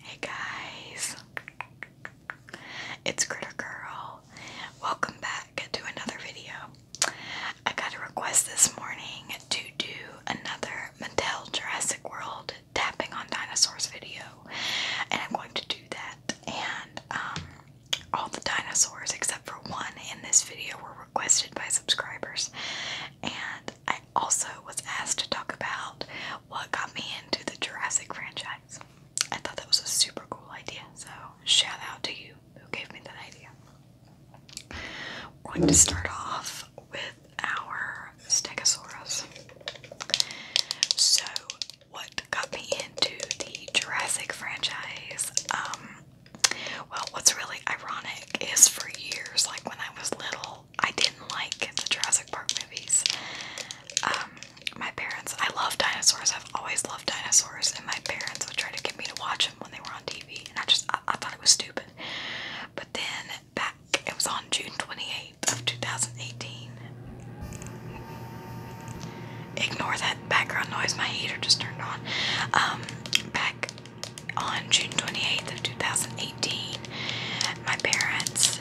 Hey guys, it's Critter Girl. Welcome back to another video. I got a request this morning to do another Mattel Jurassic World tapping on dinosaurs video, and I'm going to do that. And um, all the dinosaurs except for one in this video were requested by subscribers, and I also was asked to talk about what got me into the Jurassic franchise. I thought that was a super cool idea, so shout out to you who gave me that idea. We're going to start off with our Stegosaurus. So, what got me into the Jurassic franchise? Um, well, what's really ironic is for years, like when I was little, I didn't like the Jurassic Park movies. Um, my parents, I love dinosaurs. I've always loved dinosaurs, and my parents would try to get me to watch them when they were on TV, and I just I, thought it was stupid. But then back, it was on June 28th of 2018. Ignore that background noise. My heater just turned on. Um, back on June 28th of 2018, my parents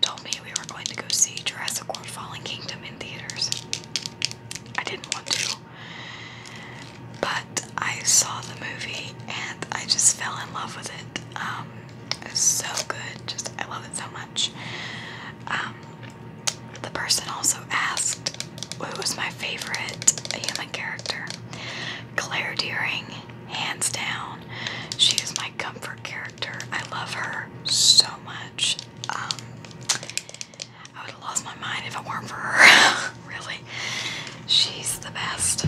told me we were going to go see Jurassic World Fallen Kingdom in theaters. I didn't want to. But I saw the movie and I just fell in love with it. Um, it's so good. Just I love it so much. Um, the person also asked who was my favorite human character. Claire Deering, hands down. She is my comfort character. I love her so much. Um, I would have lost my mind if it weren't for her. really. She's the best.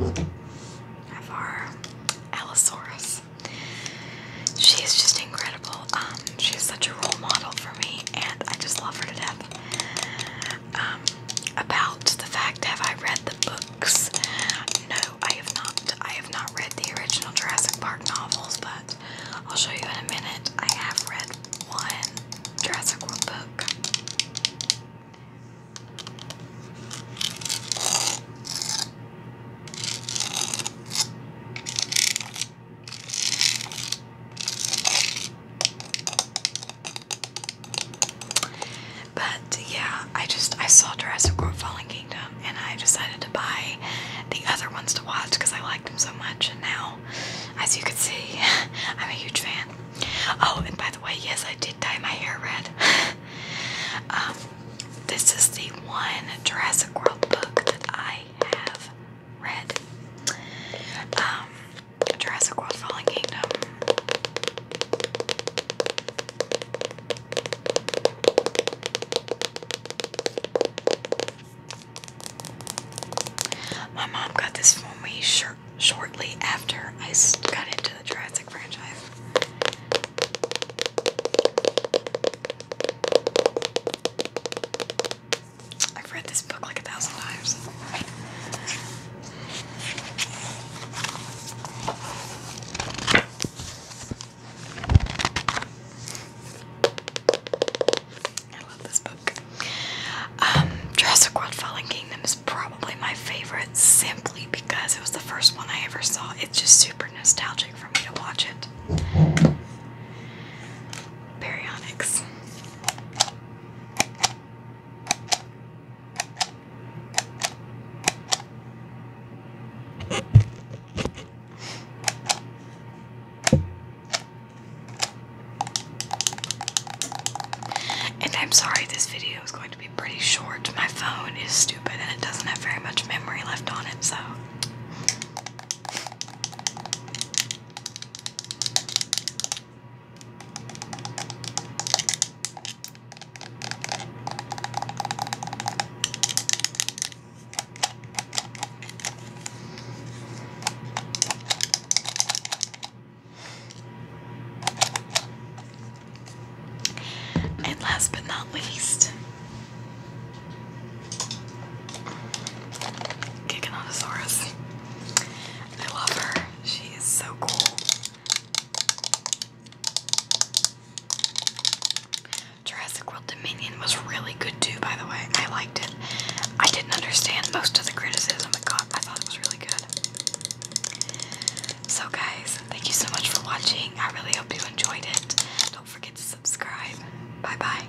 Of our Allosaurus. She is just incredible. Um, she is such a role model for me, and I just love her to death. Um, about the fact have I read the books? No, I have not. I have not read the original Jurassic Park novels, but I'll show you in a minute. I have read one Jurassic World book. But yeah, I just I saw Jurassic World Fallen Kingdom and I decided to buy the other ones to watch because I liked them so much and now as you can see I'm a huge fan. Oh and by the way yes I did dye my hair red. um this is the one Jurassic World book that I have read. Um Jurassic World Fallen Kingdom. My mom got this for me shir shortly after I got into the Jurassic franchise. I've read this book like a thousand times. I love this book. Um, Jurassic World Fallen Kingdom is probably my favorite simply because it was the first one I ever saw. It's just super nostalgic for me to watch it. Baryonyx. And I'm sorry this video is going to be pretty short. My phone is stupid and it doesn't have very much memory left on it, so. And last but not least, Giganotosaurus. I love her. She is so cool. Jurassic World Dominion was really good too, by the way. I liked it. I didn't understand most of the criticism it got. I thought it was really good. So, guys, thank you so much for watching. I really hope you enjoyed it. Don't forget to subscribe. Bye bye.